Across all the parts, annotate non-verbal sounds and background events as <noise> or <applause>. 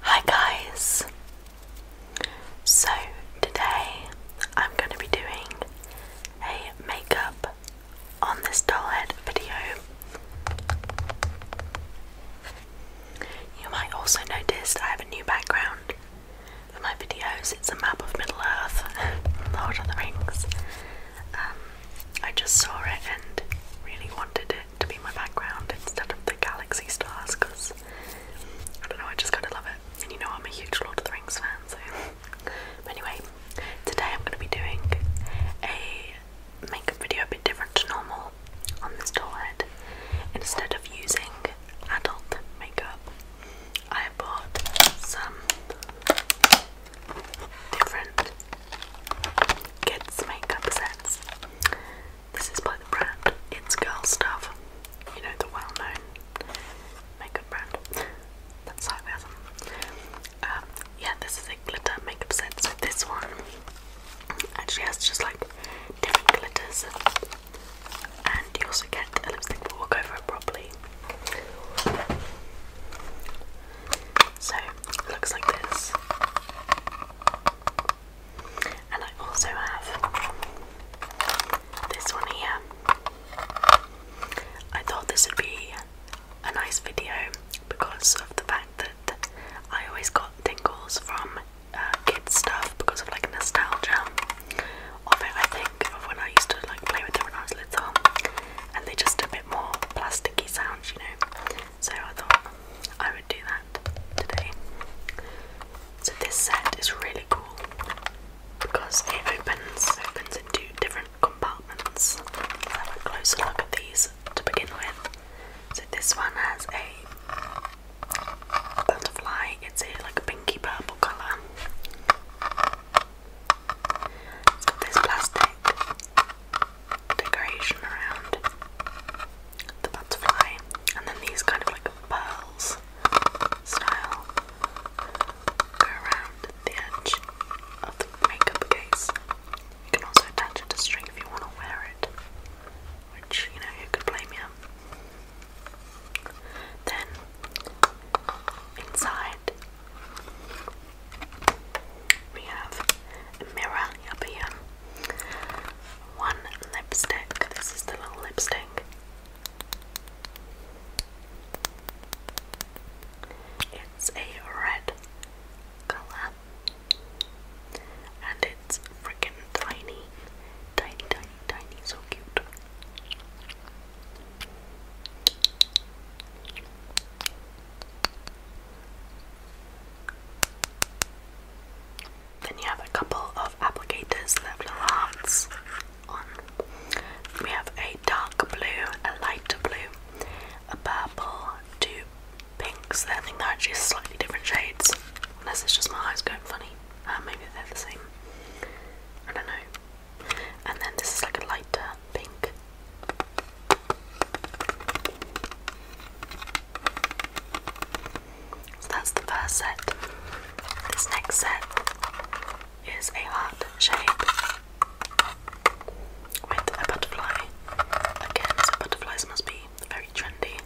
Hi guys! So today I'm going to be doing a makeup on this doll head video. You might also notice I have a new background for my videos. It's a map of Middle Earth, <laughs> Lord of the Rings. Um, I just saw it and really wanted to be my background instead of the galaxy stars because I don't know, I just kind of love it. And you know, I'm a huge Lord of the Rings fan, so. but anyway, today I'm going to be doing a makeup video a bit different to normal on this doll head. Instead of using adult makeup, I bought some different kids' makeup sets. This is by the brand It's Girl Stuff. You know, the well known makeup brand. That's sarcasm. Um, yeah, this is a glitter makeup set. So this one actually has just like different glitters. And you also get a lipstick, but we over it properly. So it looks like this. And I also have this one here. I thought this would be a nice video because of the fact that I always got tingles from uh, kids stuff because of like nostalgia of it. I think of when I used to like play with it when I was little, and they're just a bit more plasticky sounds, you know. So I thought I would do that today. So this set is really cool because it opens opens into different compartments. Let's have a closer look at these to begin with. So this one has a butterfly, it's a like a pinky purple colour. It's got this plastic decoration around the butterfly, and then these kind of like pearls style around the edge of the makeup case. You can also attach it to string if you want to wear it, which you know who could blame you. Then inside we have a mirror up here. One lipstick. This is the little lipstick. It's a red colour and it's freaking tiny. Tiny, tiny, tiny, so cute. Then you have a couple of applicators that have little hearts on. We have a dark blue, a lighter blue, a purple, two pinks. I think they're actually slightly different shades. Unless it's just my eyes going funny. Uh, maybe they're the same. I don't know. And then this is like a lighter pink. So that's the first set. This next set is a heart shape with a butterfly. Again, butterflies must be very trendy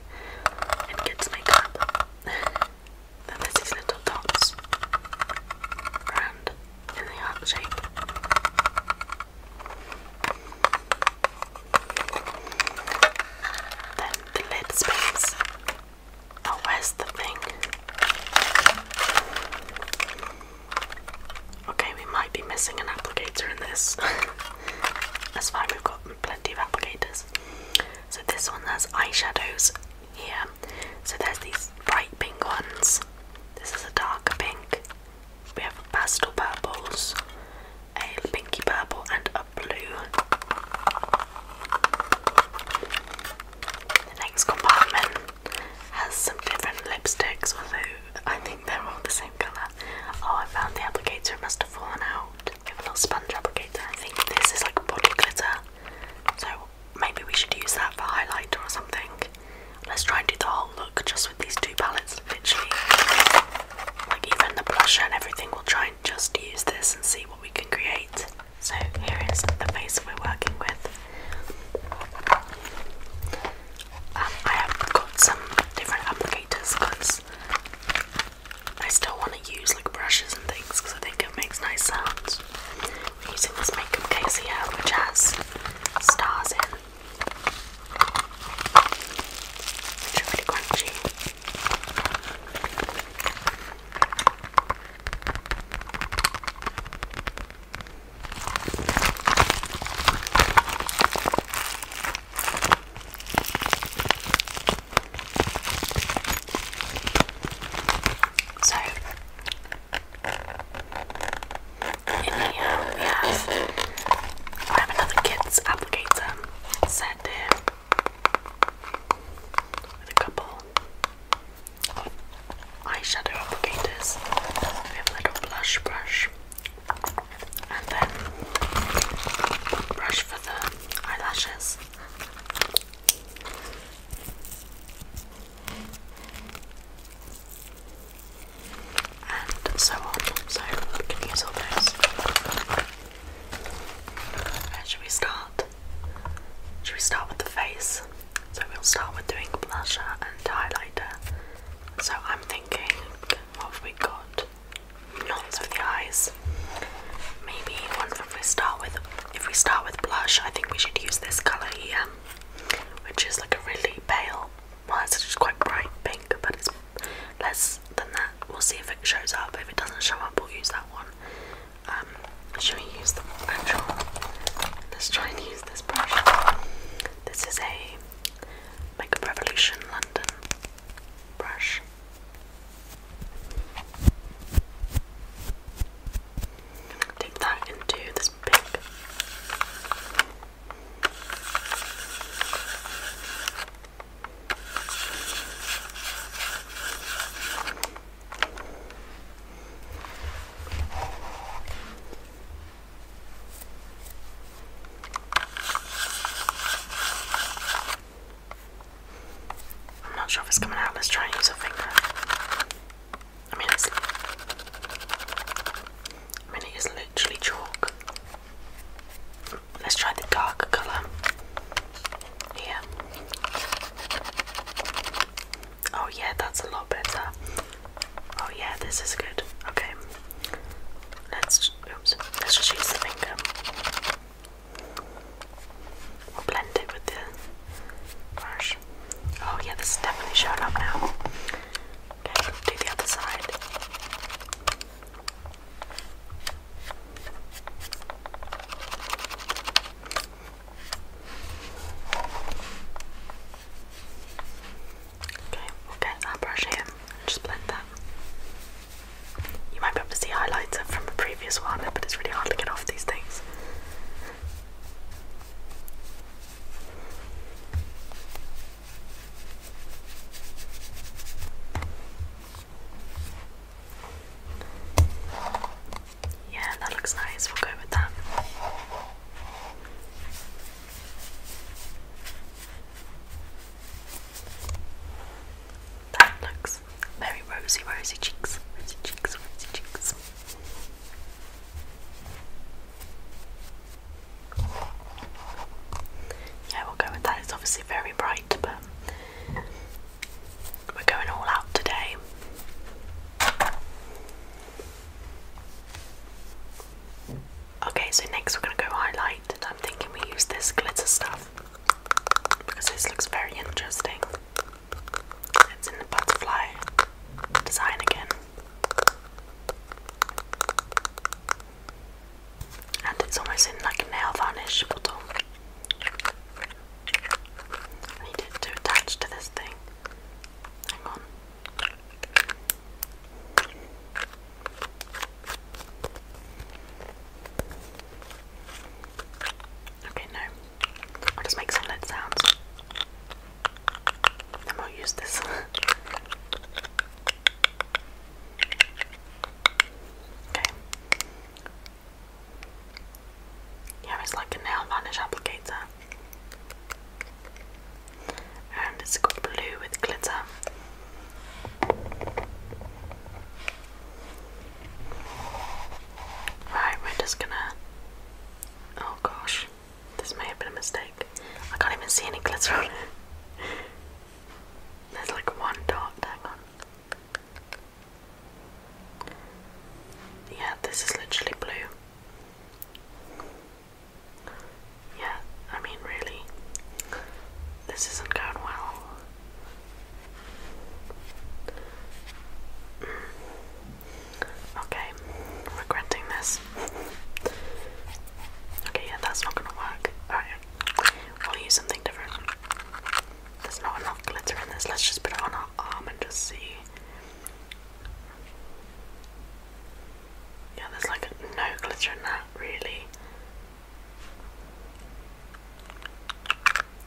in kids' makeup. then there's these little dots around in the heart shape. Then the lid space. Oh, where's the thing? Okay, we might be missing an applicator in this. <laughs> That's fine, we've got plenty of applicators. So this one has eyeshadows here. So there's these bright pink ones. This is a darker pink. We have pastel purples, a pinky purple, and a blue. The next compartment has some different lipsticks, although I think they're all the same colour. Oh, I found the applicator, it must have fallen out. We have a little sponge applicator. I think this is like body glitter, so maybe we should use that for highlighter or something. Let's try and do the whole look just with these two palettes, literally. Like even the blusher and everything, we'll try and just use this and see what we can create. So here is the face we're working with. Um, I have got some different applicators because I still want to use like brushes and things because I think it makes nice sounds. We're using this makeup case here which has stars in it's really crunchy. So and here um, we have, I have another kids applicator set there with a couple eyeshadow applicators. We have a little blush brush and then brush for the eyelashes and so on. So we can all those. Where should we start? Should we start with the face? So we'll start with doing blusher and highlighter. So I'm thinking, what have we got? Not for the eyes. Maybe one if we start with if we start with blush, I think we should use this colour here, which is like a really pale well it's just quite bright pink but it's less than that we'll see if it shows up if it doesn't show up we'll use that one um, should we use the actual let's try and use this brush this is a makeup revolution london brush dip that into this pink I'm not sure if it's coming out. Let's try and use a finger. I mean, it's, I mean, it is literally chalk. Let's try the darker colour here. Oh, yeah, that's a lot better. Oh, yeah, this is good. Okay, let's oops, let's just use the finger. we blend it with the brush. Oh, yeah, this is definitely showing up now. Okay, do the other side. Okay, we'll get our brush here and just blend that. You might be able to see highlighter from a previous one, but it's really hard to get off these things. Yeah, that looks nice. We'll go with that. That looks very rosy, rosy cheeks, rosy cheeks, rosy cheeks. Yeah, we'll go with that. It's obviously very bright, but we're going all out today. Okay, so next we're going to go highlight, and I'm thinking we use this glitter stuff because this looks very interesting. It's in the butterfly design again. And it's almost in like a nail varnish bottle. I need it to attach to this thing. Hang on. Okay, no. I'll just make some lid sounds. I'm gonna use this. okay. Yeah, it's like a nail varnish applicator. And it's blue with glitter. Right, we're just gonna. Oh gosh. This may have been a mistake. I can't even see any glitter on it. There's like one dot, hang on. Yeah, this is literally blue. Yeah, I mean, really, this isn't going well. Okay, regretting this. Okay, yeah, that's not gonna work. Alright, we'll use something different. There's not enough glitter in this. Let's just put it on our arm and just see. Yeah, there's like no glitter in that, really.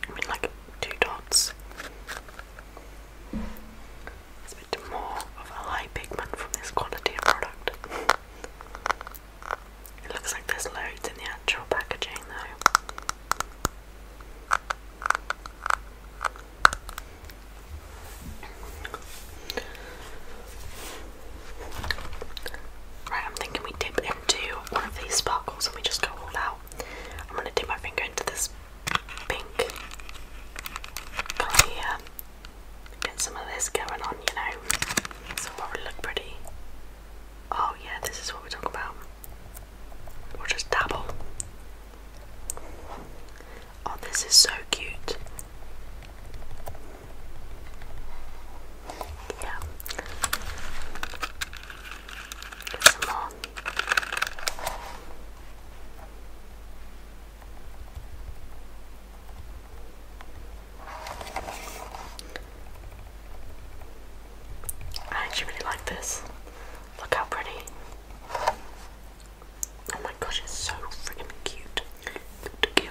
I mean, like two dots more of a high pigment from this quality of product. It looks like there's loads in the actual packaging though. Right, I'm thinking we dip into one of these sparkles and we just go all out. I'm gonna dip my finger into this pink colour Get some of this going on, you know. So it will look pretty. Oh yeah, this is what we talk about. We'll just dabble. Oh, this is so cute. Yeah. Get some I actually really like this. Look how pretty. Oh my gosh, it's so freaking cute. cute.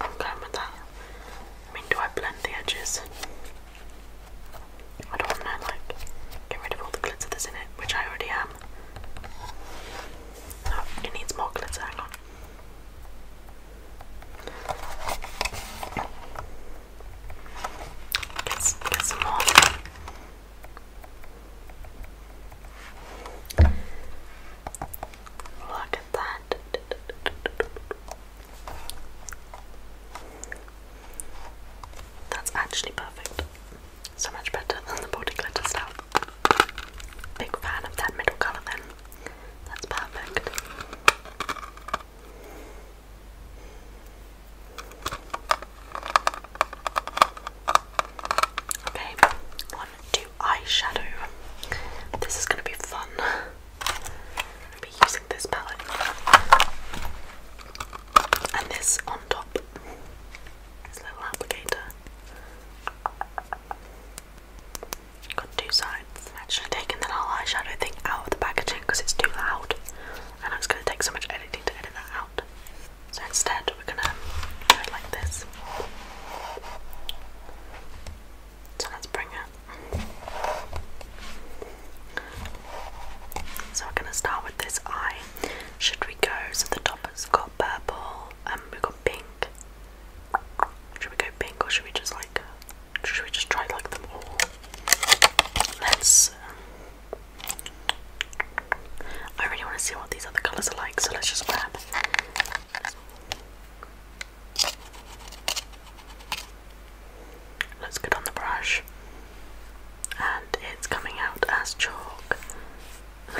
I'm going with that. I mean, do I blend the edges? I don't want to like get rid of all the glitter that's in it, which I already am. it needs more glitter, hang on. get some more. Look at that. That's actually perfect. So much better than the body glitter stuff. Big fan of that middle colour then. That's perfect. Okay, on to eyeshadow. This is going to be fun. I'll be using this palette and this on top. This little applicator. Got two sides. I should have whole eyeshadow thing out of the packaging because it's too loud and it's going to take so much editing to edit that out. So instead, we're going to do it like this. So let's bring it so we're gonna start with this eye. Should we go? So the top has got purple, and um, we've got pink. Should we go pink or should we just like should we just try like them all? Let's um, I really want to see what these other colours are like, so let's just grab. Looks good on the brush. And it's coming out as chalk. <laughs>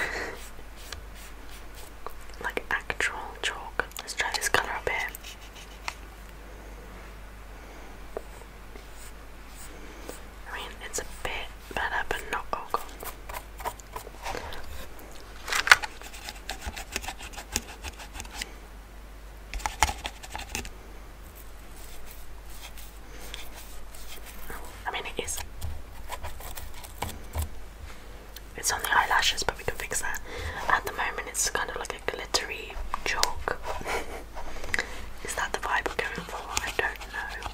like actual chalk. Let's try this colour up here. I mean, it's a bit better, but not oh god. I mean, it is. It's on the eyelashes, but we can fix that. At the moment, it's kind of like a glittery chalk. <laughs> is that the vibe we're going for? I don't know.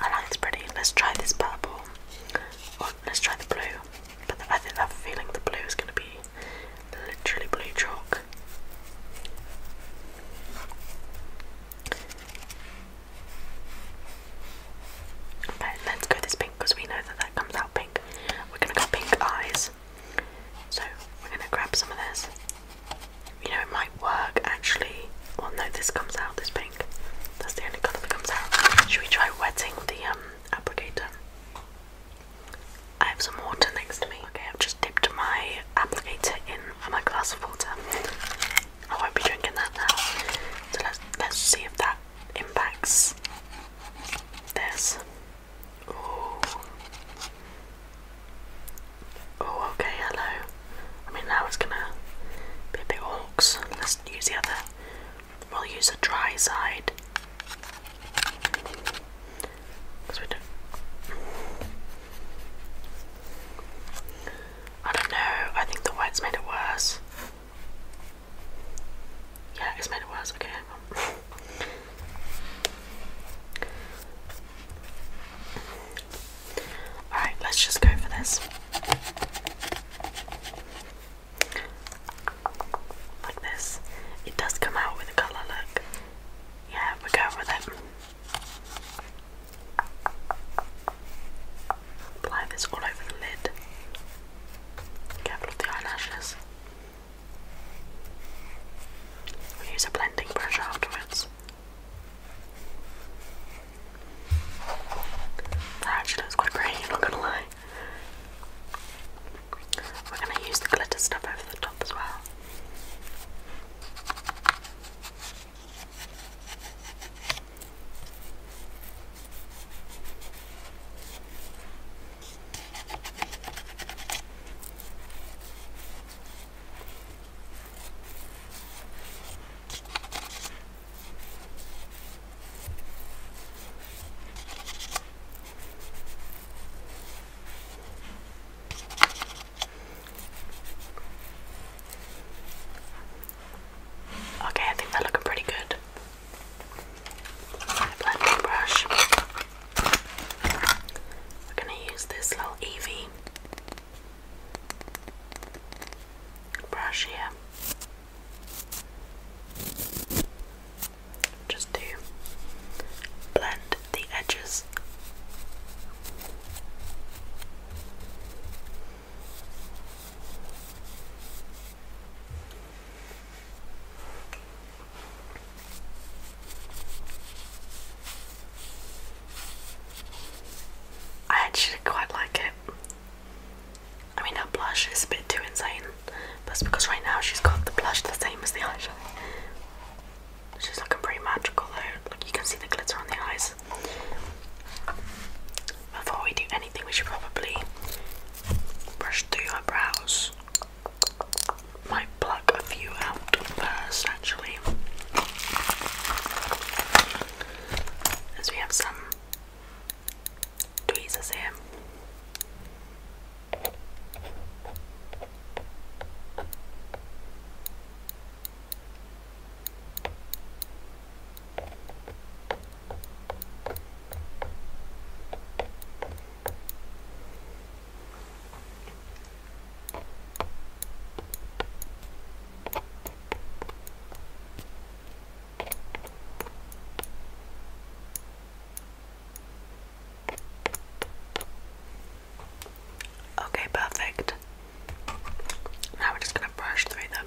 I like it's pretty. Let's try this purple. Or let's try the blue. But I think I have feeling the blue is going to be literally blue chalk. Okay, let's go this pink because we know that that comes out pink. We're going to go pink eyes. So we're going to grab some of this. You know, it might work actually. Well, no, this comes out, this pink. That's the only colour that comes out. Should we try wetting the um applicator. I have some water next to me. Okay, I've just dipped my applicator in my glass of water. I won't be drinking that now. So let's let's see if that impacts this. Oh. Oh, okay, hello. I mean, now it's gonna be a orcs. Let's use the other We'll use a dry side. We do I don't know, I think the white's made it worse. Yeah, it's made it worse, okay. <laughs> Alright, let's just go for this like this. It does come out with a colour, look. Yeah, we're going with Apply this all over the lid. Careful of the eyelashes. use a blending brush afterwards. That actually looks quite pretty, not gonna lie. We're going to use the glitter stuff over the top as well. Okay, I think they're looking pretty good. blending brush. We're gonna use this little Eevee brush here. Just to blend the edges. I actually quite like it. I mean, that blush is a bit too insane. That's because right now she's got the blush the same as the eyes. She's looking pretty magical though. Look, you can see the glitter on the eyes. Before we do anything, we should probably brush through her brows. Might pluck a few out first, actually. As we have some the eh. same. Okay, perfect. Now we're just going to brush through them.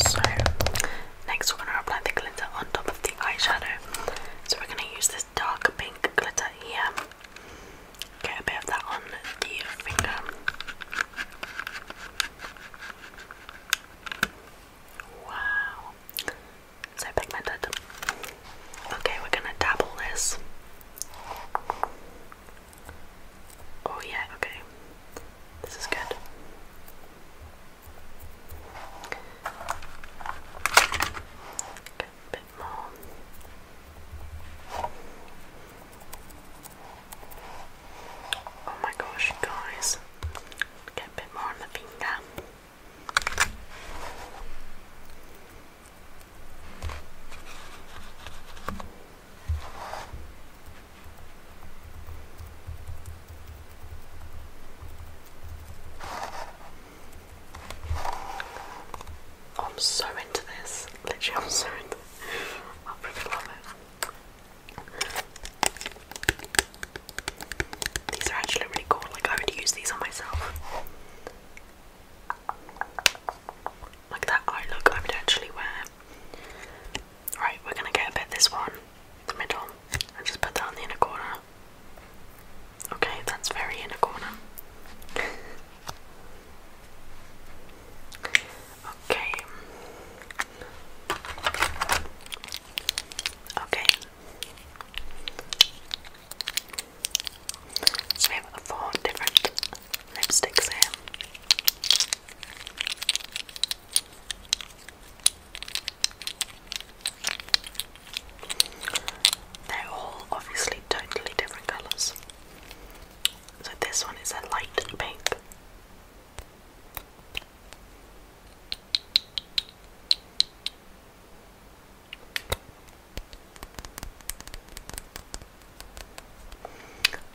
so, next we're going to apply the glitter on top of the eyeshadow. So, we're going to use this dark pink glitter here. Get a bit of that on the finger. Wow. So pigmented. Okay, we're gonna dabble this Oh yeah, okay. This is good. Get a bit more. Oh my gosh, guys. Get a bit more on the finger. I'm so into this. Literally, I'm so into this. I freaking love it. These are actually really cool. Like, I would use these on myself. Like that eye look, I would actually wear Right, we're gonna get a bit this one, the middle, and just put that in the inner corner. Okay, that's very inner corner. okay. Okay. So we have four different lipsticks here. They're all obviously totally different colours. So this one is a light pink.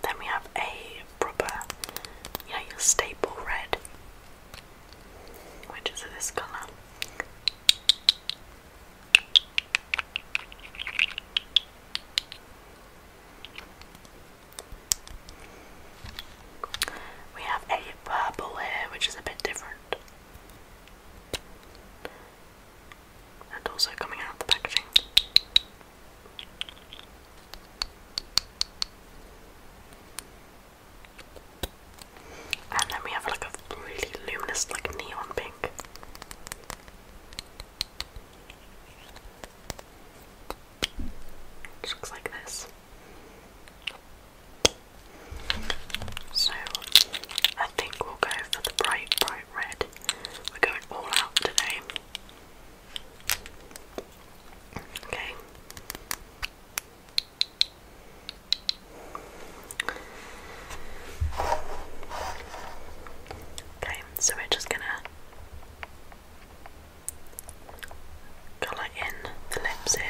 Then we have a proper, you your staple red, which is this colour. We have a purple here, which is a bit different and also coming out of the packaging. And then we have like a really luminous, like neon pink. Which looks like this. So I think we'll go for the bright, bright red. We're going all out today. Okay. Okay, so we're just gonna colour in the lips here.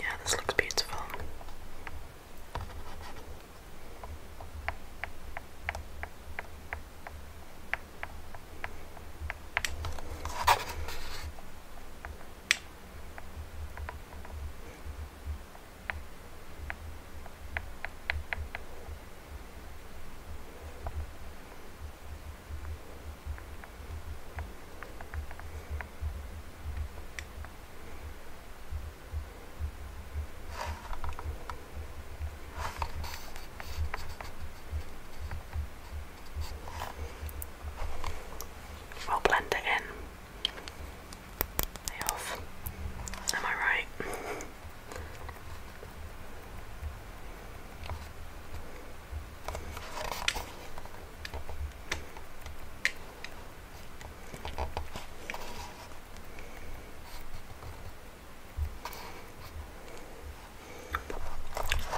Yeah, this looks beautiful i will blend it in. off. Am I right?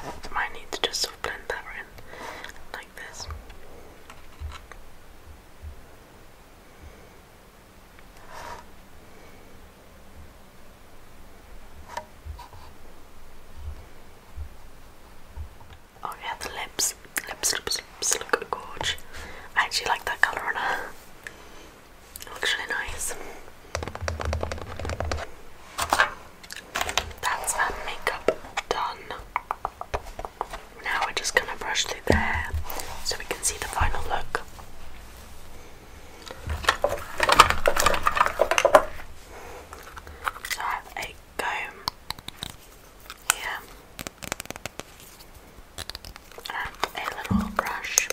I might need to just blend that in like this. Oh yeah, the lips. Lips, lips, lips look gorge. I actually like that colour on her. It looks really nice. That's our makeup done. Now we're just gonna brush through there so we can see the final look. So I have a yeah. Um, a little brush.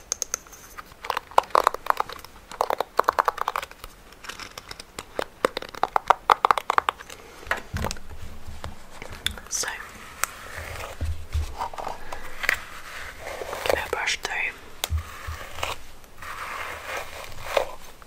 So give a brush through.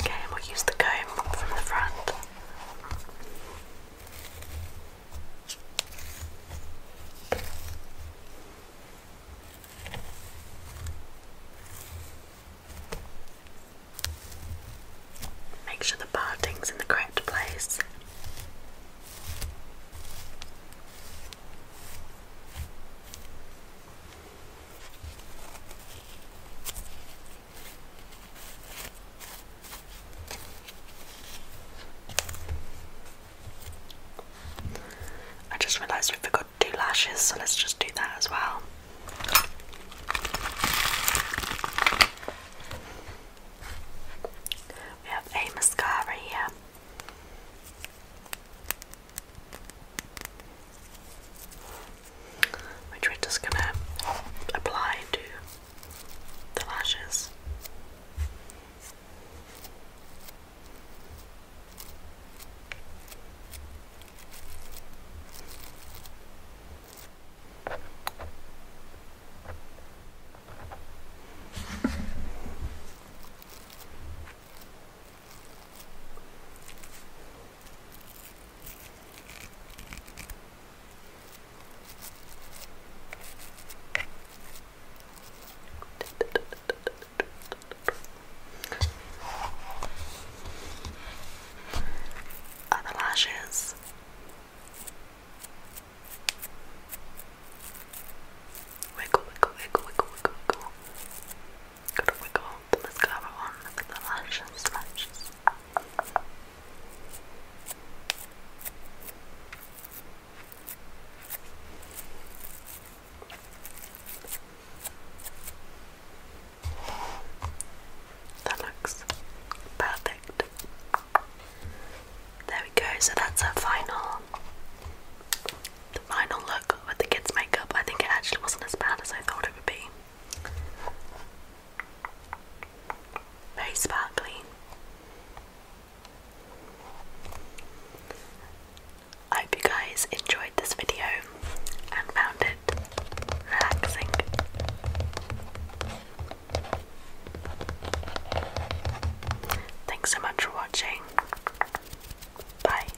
Okay, we'll use the comb from the front. Make sure the parting's in the correct place. I just realised we forgot to do lashes, so let's just do that as well. We have a mascara here which we're just gonna apply to the lashes. Other lashes. Wiggle, wiggle, wiggle, wiggle, wiggle, wiggle. Gotta wiggle the mascara on, look the lashes, lashes. That looks perfect. There we go, so that's our final the final look with the kids' makeup. I think it actually wasn't as bad as I thought it would be. Very sparkly. I hope you guys enjoyed this video and found it relaxing. Thanks so much for watching. Bye.